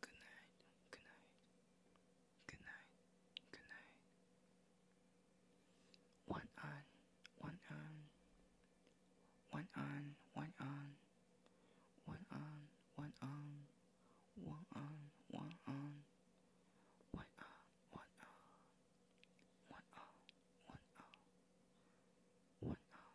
good night, good night, good night, good night. One on, one on, one on, one on, one on, one on, one on, one on, one on, one on, one on, one on, one on,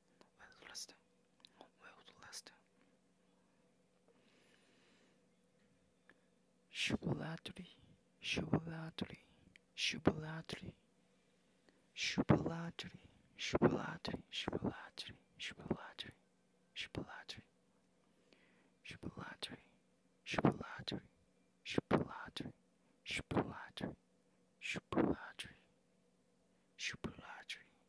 Where's Lester? Where's Lester? Shubulatri, shubulatri, shubulatri, shubulatri, shubulatri, shubulatri, shubulatri, shubulatri, shubulatri, shubulatri, shubulatri, shubulatri, shubulatri, shubulatri.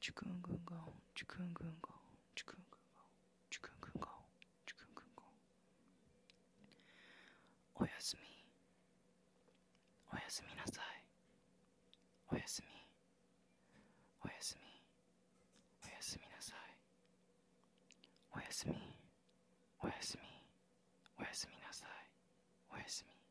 チュクングンガオンチュクングンガオンチュクングンガオンチュクングンガオチュングンガオおやすみおやすみなさいおやすみおやすみおやすみなさいおやすみおやすみおやすみなさいおやすみ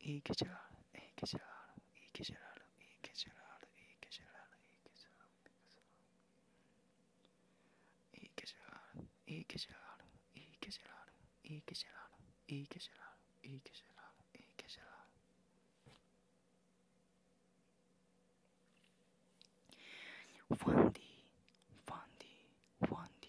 iyi geceler, iyi geceler, iyi geceler, iyi geceler, iyi geceler, iyi geceler, iyi geceler, iyi geceler, iyi geceler, iyi geceler, iyi geceler, iyi geceler, iyi geceler. Fandi, Fandi, Fandi,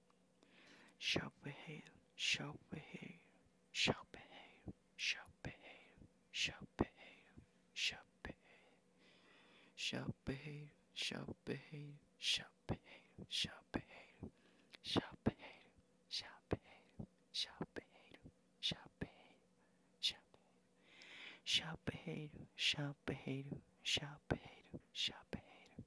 shall behave, shall behave, shall behave, shall behave, shall behave, shall behave, shall behave, shall behave, shall behave, shall behave, shall behave, shall behave, shall behave, shall behave, shall behave, shall behave, shall behave, shall behave, shall behave.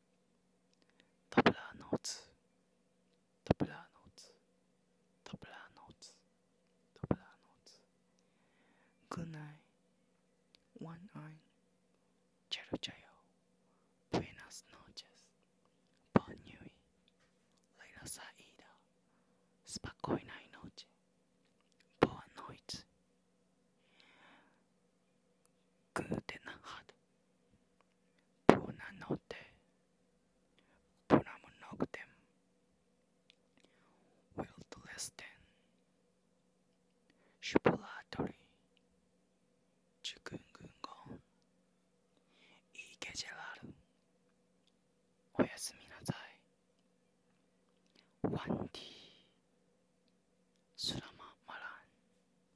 Doble notes. doble notes. doble notes. doble notes. Good night. One eye. Chero chero. Buenas noches. Bon nui. Later saída. Spokojna noche. Boa noite. Guten hat Bona notte Bonam noctem Wild listen Spulatori Chukungungon Ike gelaru おやすみなさい。ワンディー、スラママラン。